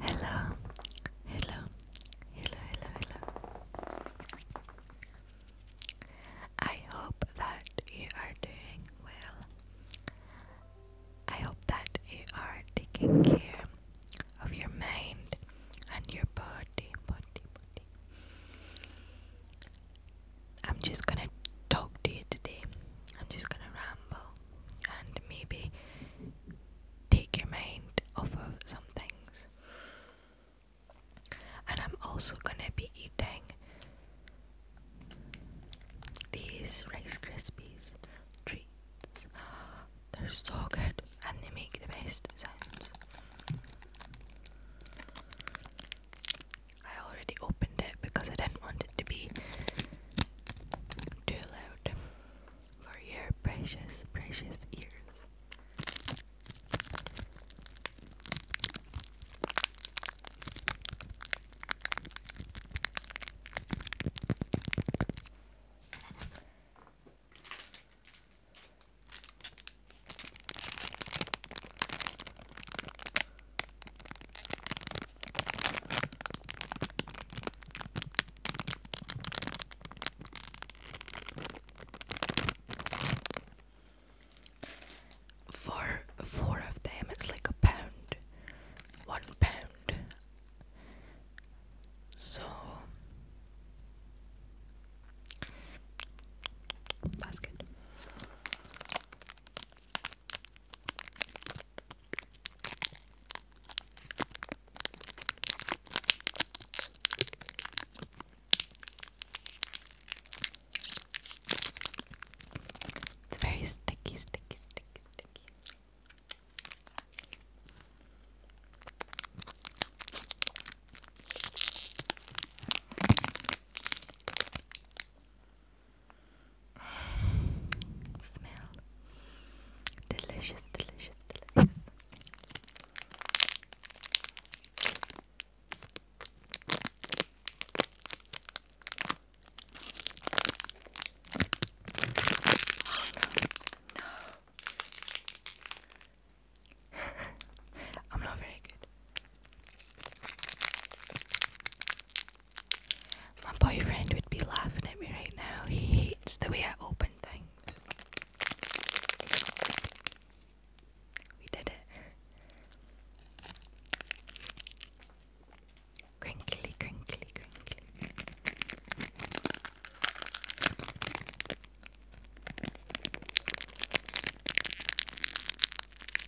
Hello, hello, hello, hello, hello. I hope that you are doing well. I hope that you are taking care of your mind and your body, body, body. I'm just gonna talk to you today. I'm just gonna ramble and maybe take your mind off of some things. And I'm also gonna be eating these Rice Krispies treats. They're so good and they make the best sounds. I already opened it because I didn't want it to be too loud for your precious, precious ears. For four of them, it's like a pound, one pound. So that's good. It's very sticky, sticky, sticky, sticky. Smell. Delicious, delicious, delicious. no. I'm not very good. My boyfriend would be laughing at me right now. He hates the way I open things. We did it. Crinkly, crinkly, crinkly.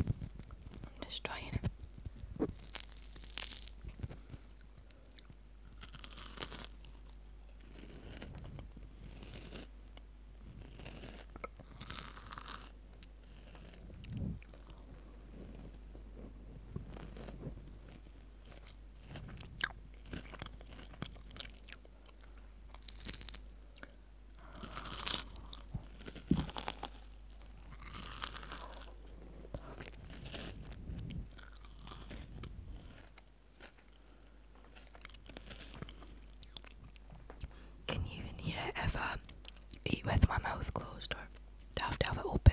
I'm destroying it. Can you even hear eat with my mouth closed or have to have it open?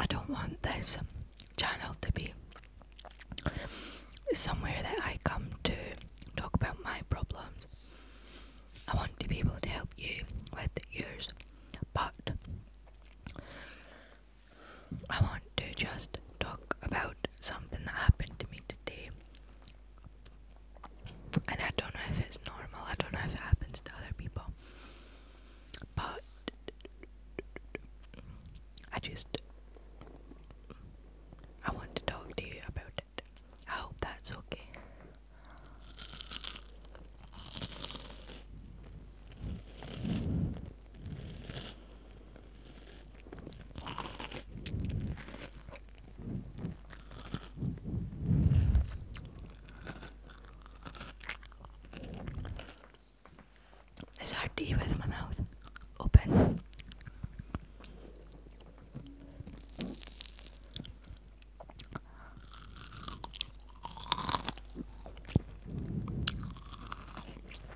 I don't want this channel to be somewhere that I come to talk about my problems. I want to be able to help you with yours, but I want to just talk about something that happened to me today. And I don't know if it's normal, I don't know if it happens to other people. But I just I want to talk to you about it. I hope that's okay. It's hard to eat with my mouth open.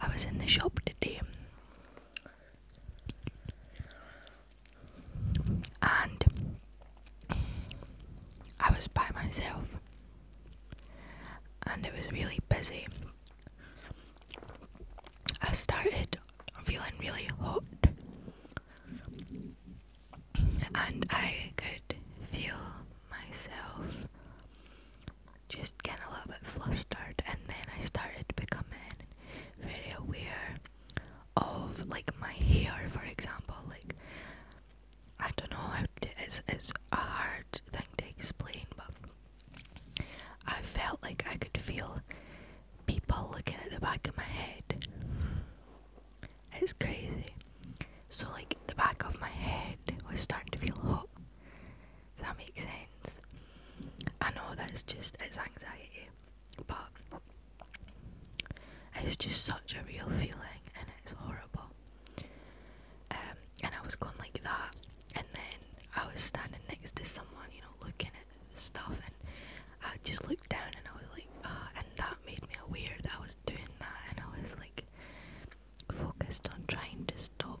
I was in the shop today and I was by myself and it was really busy. I started feeling really hot and I could feel myself just getting a little bit flustered, and then I started becoming very aware of like my hair, for example. Like I don't know how to, it's it's a hard thing to explain, but I felt like I could feel people looking at the back of my head. It's crazy. So like the back of my head was starting to feel hot. If that makes sense. I know that's just it's anxiety, but it's just such a real feeling and it's horrible. Um, and I was going like that, and then I was standing next to someone, you know, looking at stuff, and I just looked down and I was like, uh, and that made me aware that was doing that and I was like focused on trying to stop.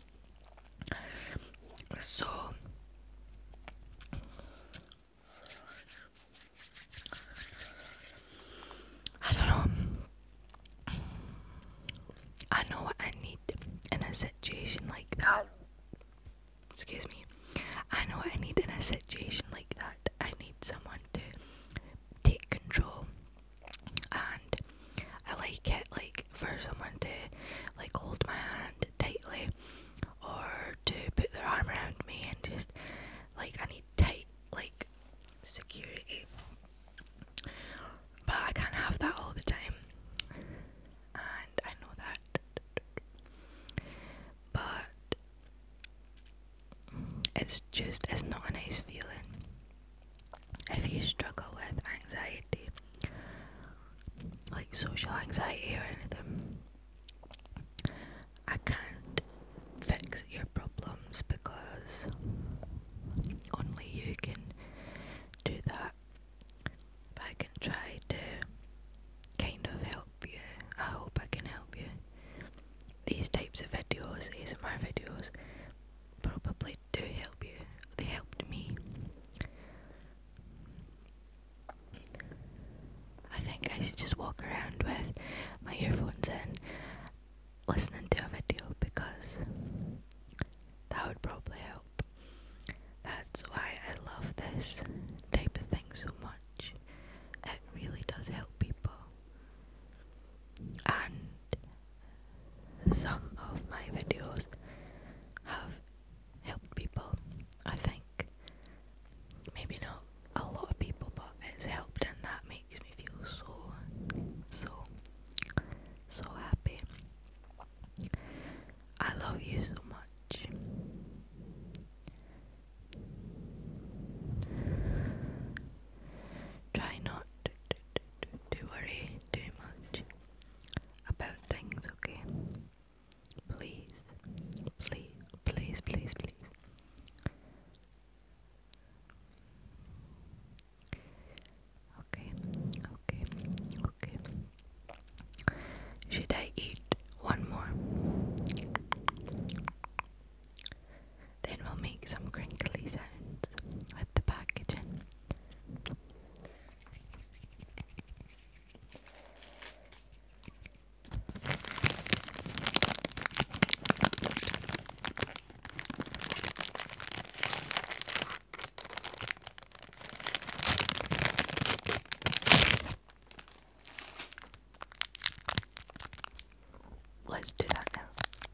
So I don't know. I know what I need in a situation like that. Excuse me. I know what I need in a situation like that. I need someone to take control and I like it like for someone to like hold my hand tightly or to put their arm around me and just like I need tight like security. But I can't have that all the time. And I know that. But it's just, it's not a nice feeling if you struggle with anxiety, like social anxiety or anything, I can't fix your problems because only you can do that. But I can try to kind of help you. I hope I can help you. These types of videos, these my videos, probably they do help you. They helped me. I think I should just walk around with my earphones in listening to a video because that would probably help. That's why I love this type of thing so much. It really does help people. And some of my videos have helped people. I think maybe not a lot of people, but it's helped, and that makes me feel so, so, so happy. I love you so much. Try not to, worry too much about things, okay? Please, please, please, please, please. Okay, okay, okay. Should I eat one more? Then we'll make some crinkly sounds with the packaging. Let's do that now.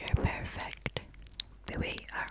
You're perfect the way you are.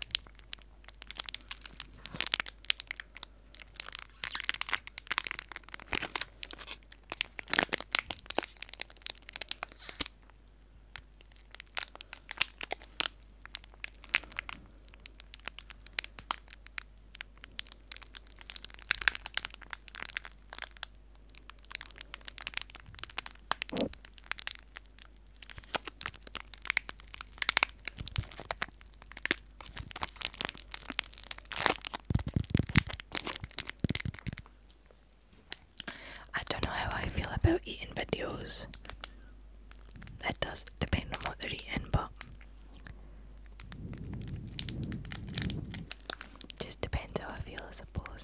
I don't know how I feel about eating videos. It does depend on what they're eating, but just depends how I feel, I suppose.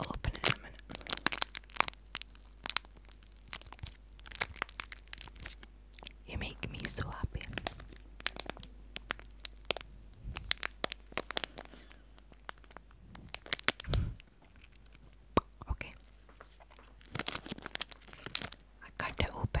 open it in a minute. You make me so happy. Okay. I cut it open.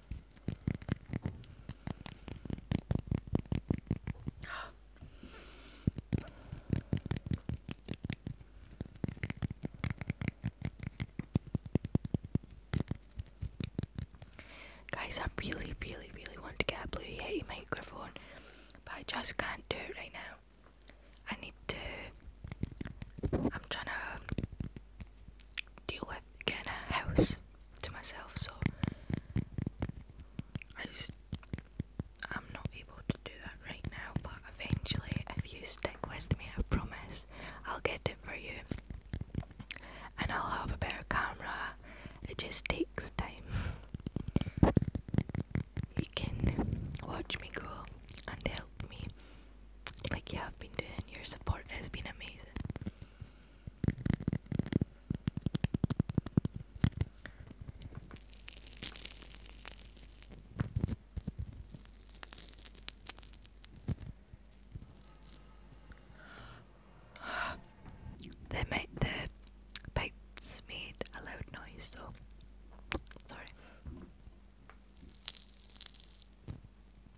Guys, I really, really, really want to get a Blue Yeti microphone, but I just can't do it right now. I need to. I'm trying to deal with getting a house to myself, so I just am not able to do that right now, but eventually, if you stick with me, I promise I'll get it for you. And I'll have a better camera. It just takes time. You can watch me grow and help me like you have been doing. Your support has been amazing. They make the pipes made a loud noise, so sorry.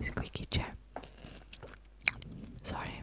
Squeaky chair. Sorry.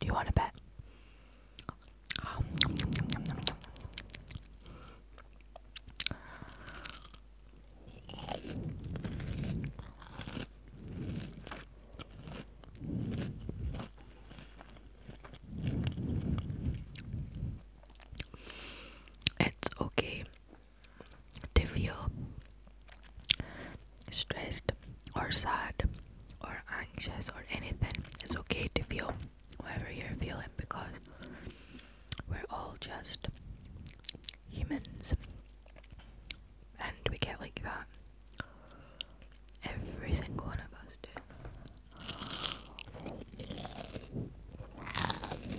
Do you want to bet? It's okay to feel stressed or sad or anxious or anything. It's okay to feel whatever you're feeling because we're all just humans and we get like that. Every single one of us do.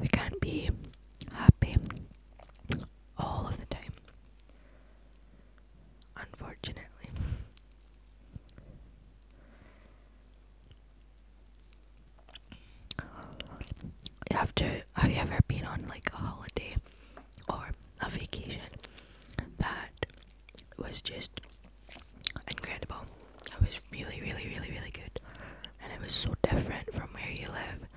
We can't be happy all of the time. Unfortunately. After have you ever been on like a holiday or a vacation that was just incredible it was really, really, really, really good. And it was so different from where you live.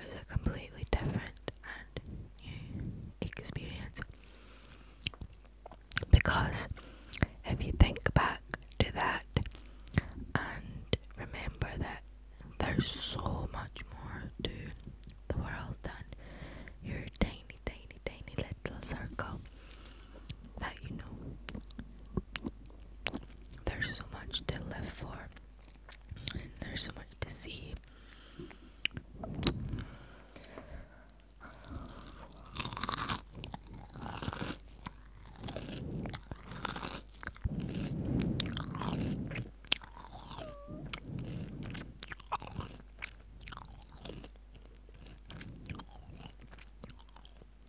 It was a completely different and new experience. Because if you think back to that and remember that there's so much more to the world than your tiny, tiny, tiny little circle that you know there's so much to live for and there's so much to see.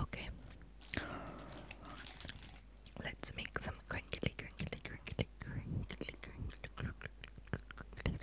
Okay. Let's make some crinkly crinkly crinkly crinkly crinkly crinkly crinkly crinkly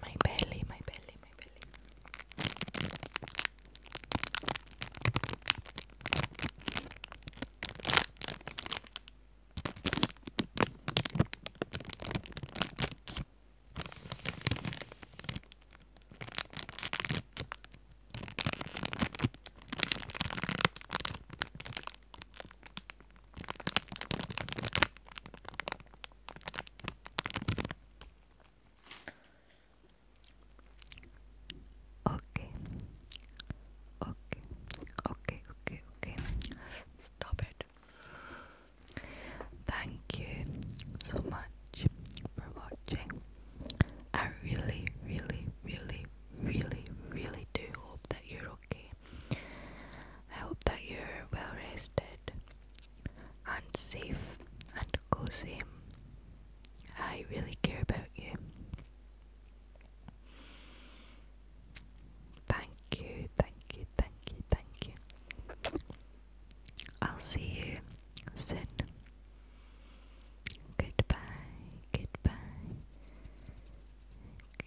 My belly, my belly, my belly. Okay. Okay. Okay. Okay. Okay. Stop it. Thank you so much for watching. I really, really, really, really, really do hope that you're okay. I hope that you're well rested and safe and cozy. I really care about you. Thank you, thank you, thank you, thank you. I'll see you soon. Goodbye, goodbye.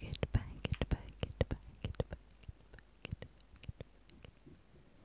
Goodbye, goodbye, goodbye, goodbye, goodbye, goodbye.